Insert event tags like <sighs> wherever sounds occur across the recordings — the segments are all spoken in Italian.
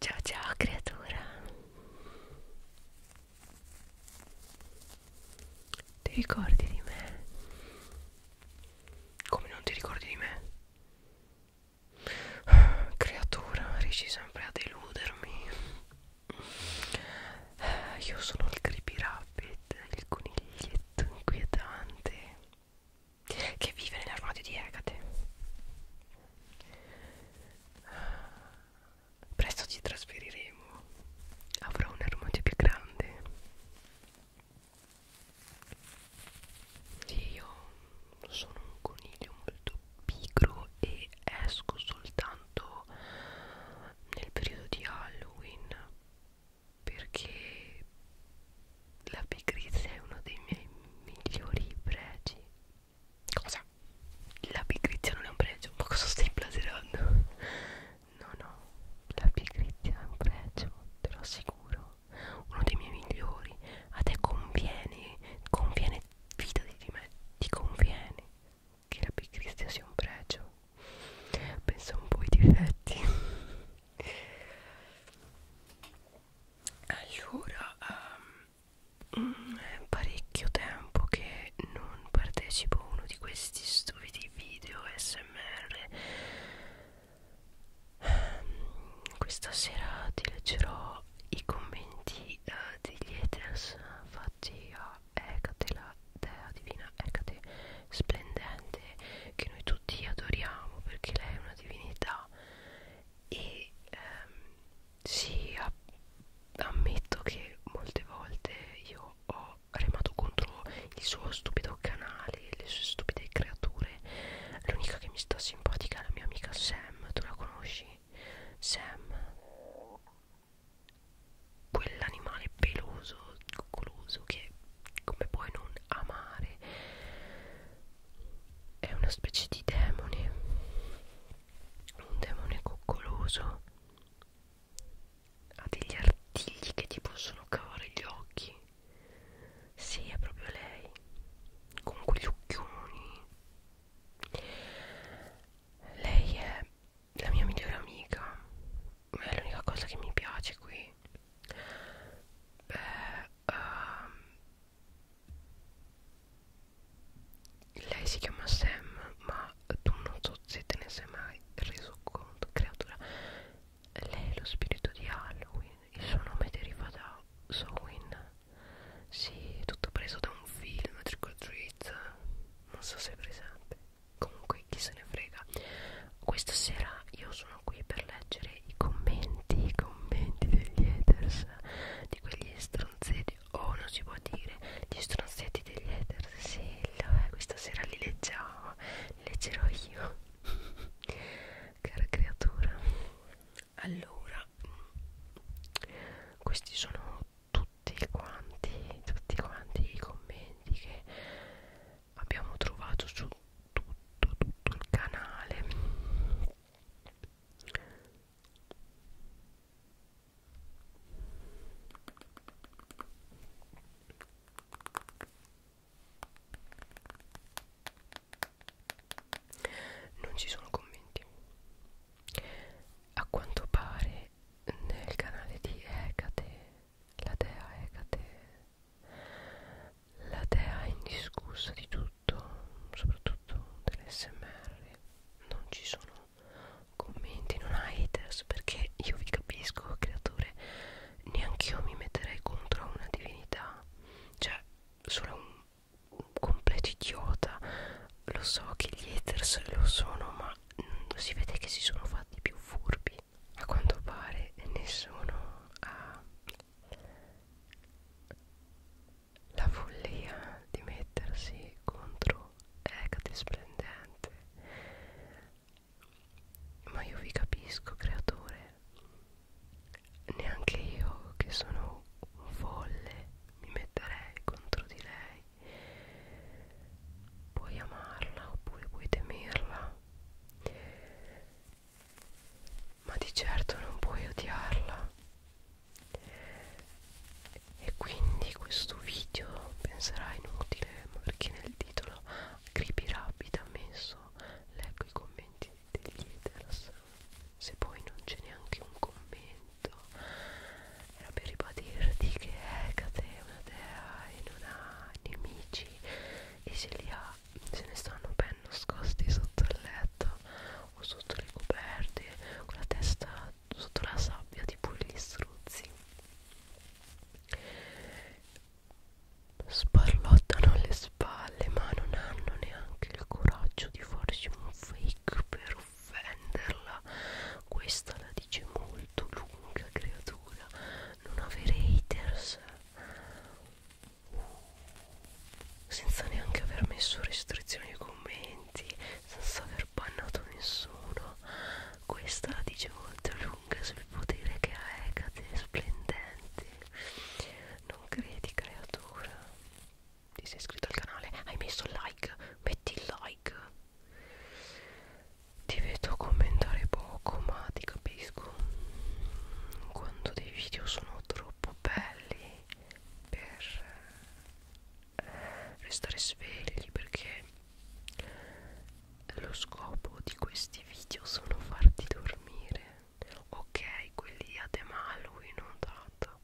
Ciao ciao creatura Ti ricordi di me? Come non ti ricordi di me? <sighs> Creatura, riesci sempre a deludermi <sighs> Io sono il creepy rabbit, il coniglietto inquietante che vive nell'armadio di Ecate. Presto ci trasferiremo. Avrò un armadio più grande. Io sono un coniglio molto pigro e esco soltanto nel periodo di Halloween perché la pigrizia è uno dei miei migliori pregi. Cosa? La pigrizia non è un pregio, ma cosa stai blaserando? No, no, la pigrizia è un pregio, te lo assicuro. Uno dei miei migliori. A te conviene, conviene, fidati di me, ti conviene che la pigrizia sia un pregio. Pensa un po' ai difetti allora um, è parecchio tempo che non partecipo a uno di questi stupidi video smr um, ehm, questa sera ti leggerò i commenti uh, degli haters fatti a Ecate la dea divina Ecate splendente che noi tutti adoriamo perché lei è una divinità e ehm, sì, ammetto che molte volte io ho remato contro il suo stupido canale, le sue stupide creature. L'unica che mi sta simpatica è la mia amica Sam, tu la conosci? Sam, quell'animale peloso, coccoloso che come puoi non amare? è una specie di demone un demone coccoloso ha degli artigli che ti possono cavare gli occhi sì è proprio lei con quegli occhioni lei è la mia migliore amica è l'unica cosa che mi piace qui Beh, uh, lei si chiama Sam ma tu non so se te ne sei mai reso conto creatura lei è lo spirito di Halloween il suo nome deriva da Sowin sì tutto preso da un film Trick or Treat non so se è presente comunque chi se ne frega questa sera io sono qui per leggere i commenti, i commenti degli haters, di quegli stronzetti, oh non si può dire, gli stronzetti degli haters, sì, lo, eh, questa sera li leggiamo, li leggerò io, <laughs> cara creatura. Allora, questi sono tutti quanti, tutti quanti i commenti che abbiamo trovato su tutto, tutto il canale non ci sono commenti a quanto pare nel canale di Hecate la dea Ecate, la dea indiscussa di tutto, soprattutto dell'SMR. Non ci sono commenti, non ha haters perché io vi capisco, creatore, neanche io mi metterei contro una divinità, cioè sono un, un completo idiota. Lo so che gli haters lo sono, ma si vede che si sono fatti più furbi a quanto pare nessuno ha la follia di mettersi contro Hecate Splendente ma io vi capisco creatore neanche io che sono un folle mi metterei contro di lei puoi amarla oppure puoi temerla ma di certo non puoi odiarla e quindi questo video penserà inutile perché nel titolo creepy rapid ha messo leggo i commenti degli haters se poi non c'è neanche un commento era per ribadirti che Hecate è una dea e non ha nemici e se li ha se ne stanno ben nascosti sotto il letto o sotto le coperte con la testa sotto la sabbia tipo gli struzzi sparlottano le spalle ma non hanno neanche il coraggio di farci un fake per offenderla questa la dice molto molto lunga creatura non avere haters senza neanche aver messo restrizioni ai commenti senza aver bannato nessuno questa la dice molto lunga sul potere che ha Ecate splendente non credi creatura ti sei iscritto al canale hai messo like metti il like ti vedo commentare poco ma ti capisco quando dei video sono troppo belli per eh, restare svegli perché lo scopo di questi video sono farti dormire ok quelli ad Emalui non tanto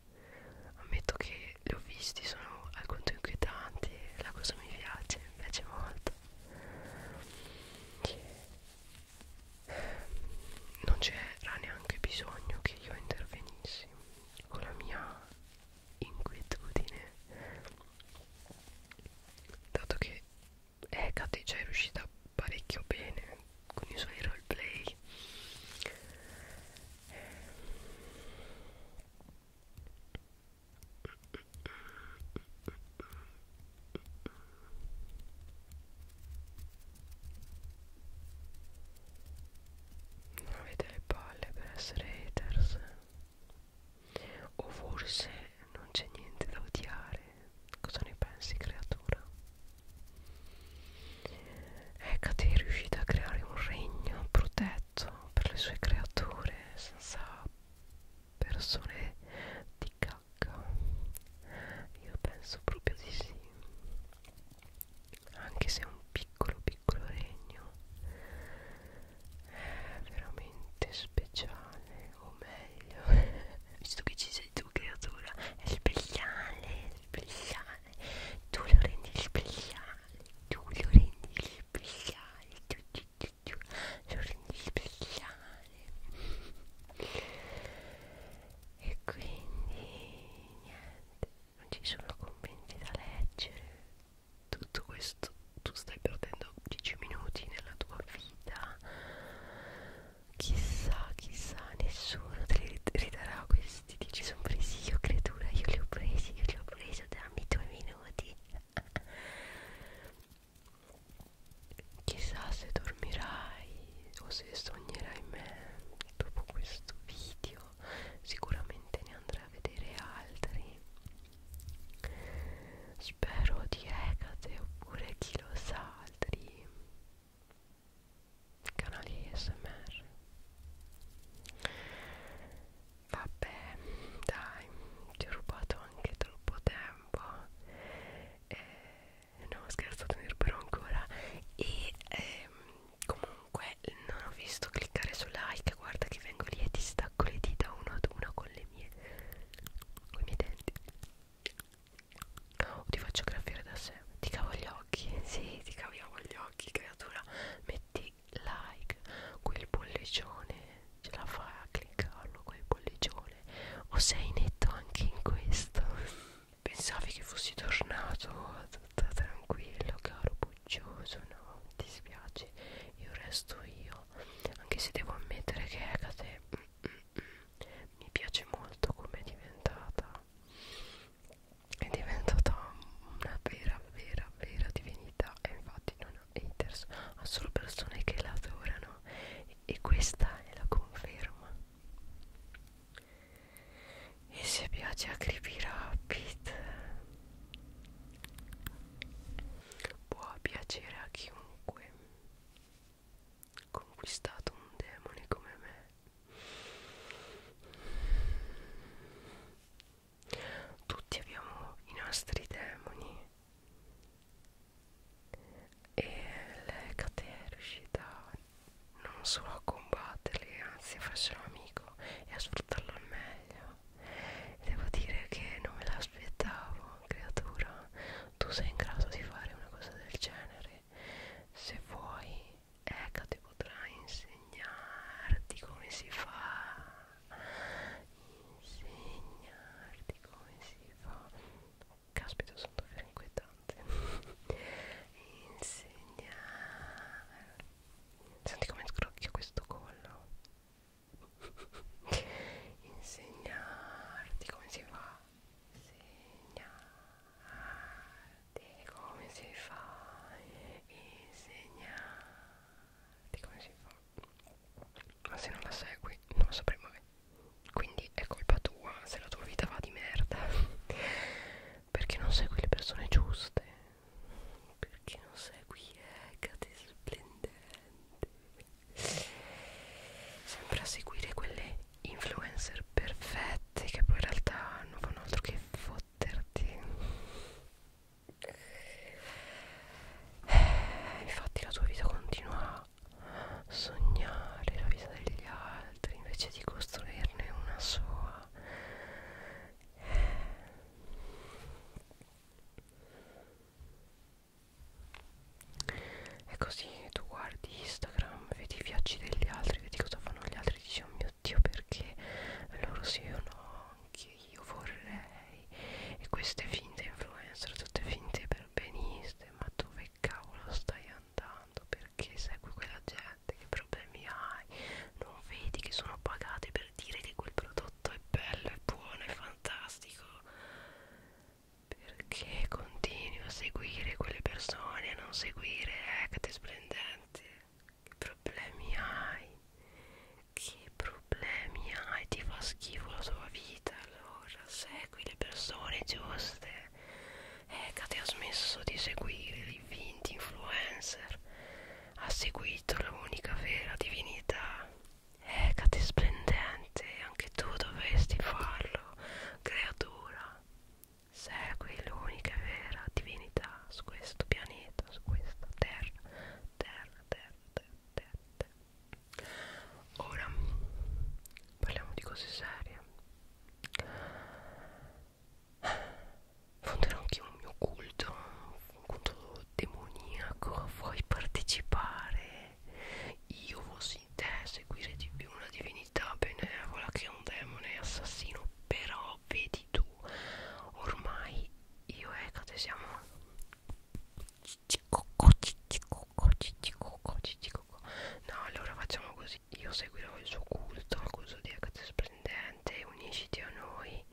ammetto che li ho visti sono alquanto inquietanti la cosa mi piace mi piace molto basta non c'era neanche bisogno che io intervenissi con la mia inquietudine dato che Hecate già è riuscita parecchio bene con i suoi roleplay non avete le palle per essere haters? O forse non c'è niente da odiare? Cosa ne pensi, creatura? Ecco, ti è riuscita a creare un regno protetto affetto per le sue creature senza persone di cacca io penso proprio di sì anche se è un piccolo piccolo regno è veramente speciale o meglio <laughs> visto che ci sei tu creatura è speciale speciale tu lo rendi speciale tu lo rendi speciale giorni speciali e quindi niente non ci sono commenti da leggere tutto questo tu stai perdendo 10 minuti nella tua vita chissà chissà nessuno te li ridarà questi 10 sono presi io creatura io li ho presi io li ho presi dammi i tuoi minuti chissà se dormirai o se sognerai me dopo questo video sicuramente ne andrai a vedere altri spero di Hecate oppure chi lo sa altri canali ASMR Vabbè, dai, ti ho rubato anche troppo tempo. Eh, no, scherzo, te ne ruberò ancora. E ehm, comunque non ho visto cliccare su like. Guarda che vengo lì e ti stacco le dita una ad una con le mie. con i miei denti. O oh, ti faccio graffiare da sé. Ti cavo gli occhi. <laughs> Sì, ti caviamo gli occhi, creatura. Metti like quel pollicione ce la fai a cliccarlo quel pollicione o sei netto anche in questo <laughs> pensavi che fossi tornato tutta tranquillo caro puccioso no mi dispiace io resto io anche se devo ammettere che Ecate mm, mm, mm, mi piace molto come è diventata è diventata una vera vera vera divinità e infatti non ha haters ha solo persone che la adorano e, e questa è la conferma e se piace a Creepy Rapid può piacere a chiunque conquistato un demone come me tutti abbiamo i nostri demoni e lei è riuscita non solo a combatterli, anzi a farselo amico e a sfruttarlo al meglio. Devo dire che non me l'aspettavo, creatura. Tu sei in grado di fare una cosa del genere se vuoi Hecate ecco, potrà insegnarti come si fa, insegnarti come si fa, caspita sono davvero inquietante, insegnarti, senti come scrocchia questo collo, insegnarti come si fa, insegnarti di come si fa insegnarti come si fa ma se non la segui non lo saprai mai quindi è colpa tua se la tua vita va di merda <laughs> perché non segui le persone giuste perché non segui eh, Hecate splendente sempre a seguire quelle influencer perfette che poi in realtà non fanno altro che sbatterti eh, infatti la tua vita continua a sognare la vita degli altri invece di costruirne una sola eh. è così tu guardi Instagram vedi i viaggi degli altri vedi cosa fanno gli altri e dici oh mio dio perché loro sì o no anche io vorrei e queste finte influencer tutte finte perbeniste ma dove cavolo stai andando perché segui quella gente che problemi hai non vedi che sono pagate per dire che quel prodotto è bello è buono è fantastico perché continui a seguire quelle persone e non seguire eh, sorprendente che problemi hai che problemi hai ti fa schifo la tua vita allora segui le persone giuste ecco ti ha smesso di seguire i finti influencer ha seguito l'unica vera divinità Ecate eh, splendente, anche tu dovresti farlo, creatura. Segui l'unica vera divinità su questo pianeta, su questa terra, terra, terra, terra, terra, terra. Ora parliamo di cose serie. Fonderò anche un mio culto, un culto demoniaco. Vuoi partecipare? Io fossi in te seguire di più una divinità benevola che un demone assassino però vedi tu ormai io e Ecate siamo no allora facciamo così io seguirò il suo culto il culto di Ecate splendente unisciti a noi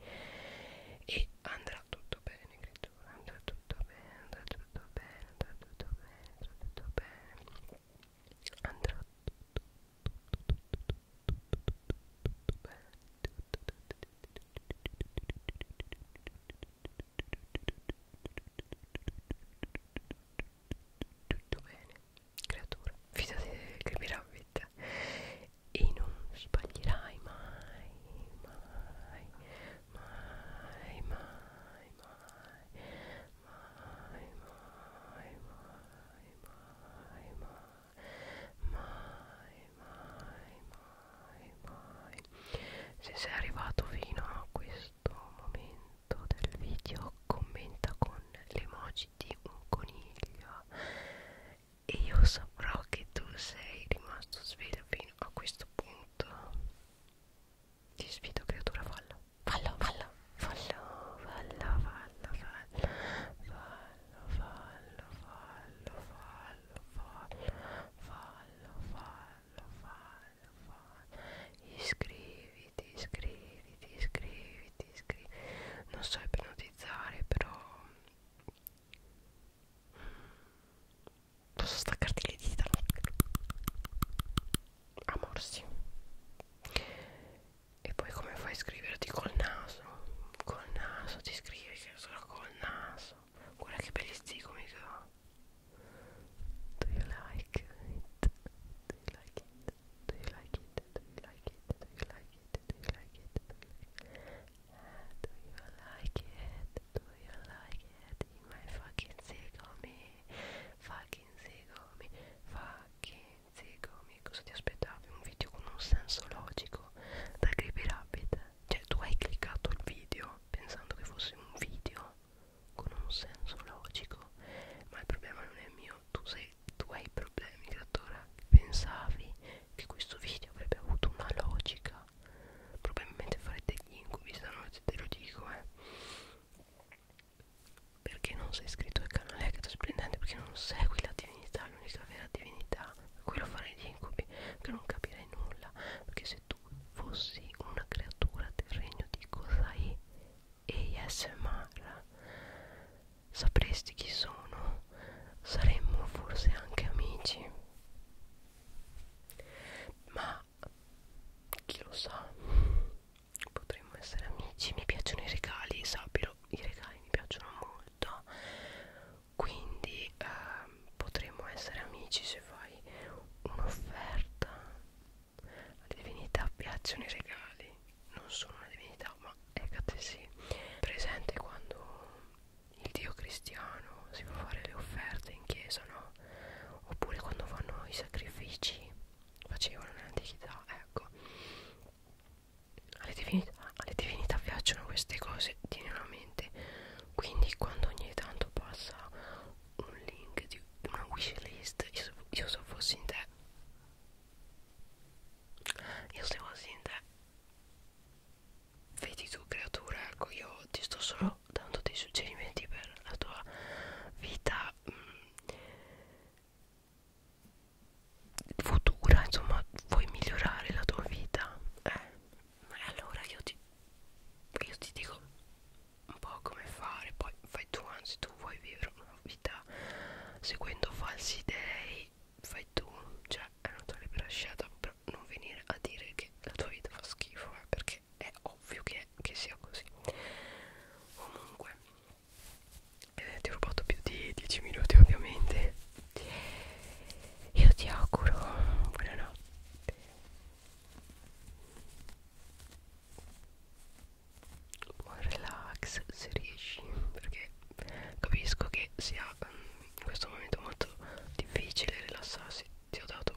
e andrà tutto bene credo andrà tutto bene andrà tutto bene andrà tutto bene andrà tutto bene andrà tutto, creatura fidati che mi ravvita e non sbaglierai mai mai mai mai mai mai, mai, mai, mai, mai, mai, mai, mai, mai. Se sei arrivato fino a questo momento del video, commenta con l'emoji di un coniglio e io saprò che tu sei rimasto sveglio fino a questo punto ti sfido creatura, fallo. Fallo, fallo. Fallo, fallo, fallo, fallo. Fallo, fallo, fallo, fallo, fallo. Fallo, fallo, fallo, fallo. Iscriviti, iscriviti, iscriviti, iscriviti. Non so ipnotizzare, però... Posso staccarti le dita? A morsi. E poi come fai a scriverti col naso? Col naso ti scrivi che solo col naso. Guarda che belli zigomi che ho. Do you like it? Do you like it? Do you like it? Do you like it? Do you like it? Do you like it? Do you like it? Do you like it? Do you like piedi my fucking zigomi fucking zigomi fucking zigomi cosa ti aspettavi? un video con un senso logico da Creepy Rabbit? cioè tu hai cliccato il video pensando che fosse un video con un senso logico ma il problema non è mio tu, sei, tu hai problemi creatora pensavi che questo video avrebbe avuto una logica probabilmente farete gli incubi stanotte te lo dico eh perché non sei iscritto al canale Hector Splendente? Perché non segui la divinità, l'unica vera divinità, quello fare gli incubi, che non capirei nulla. Perché se tu fossi una creatura del regno di Kozai e ASMR, sapresti chi sono, saremmo forse anche amici. Ma ma chi lo sa potremmo essere amici mi piacciono i regali sappilo i regali mi piacciono molto quindi eh, potremmo essere amici se fai un'offerta alle divinità piacciono i regali non sono una divinità ma eccate sì presente quando il dio cristiano si fa fare le offerte in chiesa no oppure quando fanno i sacrifici facevano nell'antichità ecco alle divinità, alle divinità piacciono queste cose tienilo a mente quindi quando ogni tanto passa un link di una wishlist io, io se fossi in te io se fossi in te vedi tu creatura ecco io ti sto solo dando dei suggerimenti per la tua vita mh, mm, futura insomma vuoi migliorare la tua vita eh, allora io ti, io ti dico un po' come fare poi fai tu anzi tu vuoi vivere una vita seguendo falsi idei fai tu cioè è una tua libera scelta per non venire a dire che la tua vita fa schifo eh, perché è ovvio che, che sia così comunque eh, ti ho rubato più di 10 minuti ovviamente io ti auguro buonanotte buon relax se riesci perché capisco che sia um, in questo momento molto difficile rilassarsi ti ho dato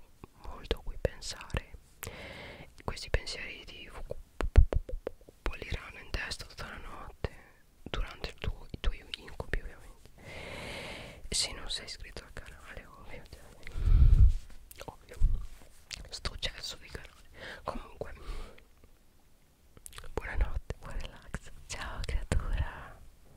molto a cui pensare questi pensieri ti bolliranno in testa tutta la notte durante il tuo, i tuoi incubi ovviamente se non sei iscritto al canale ovvio ovvio sto cesso di canale comunque buonanotte buon relax ciao creatura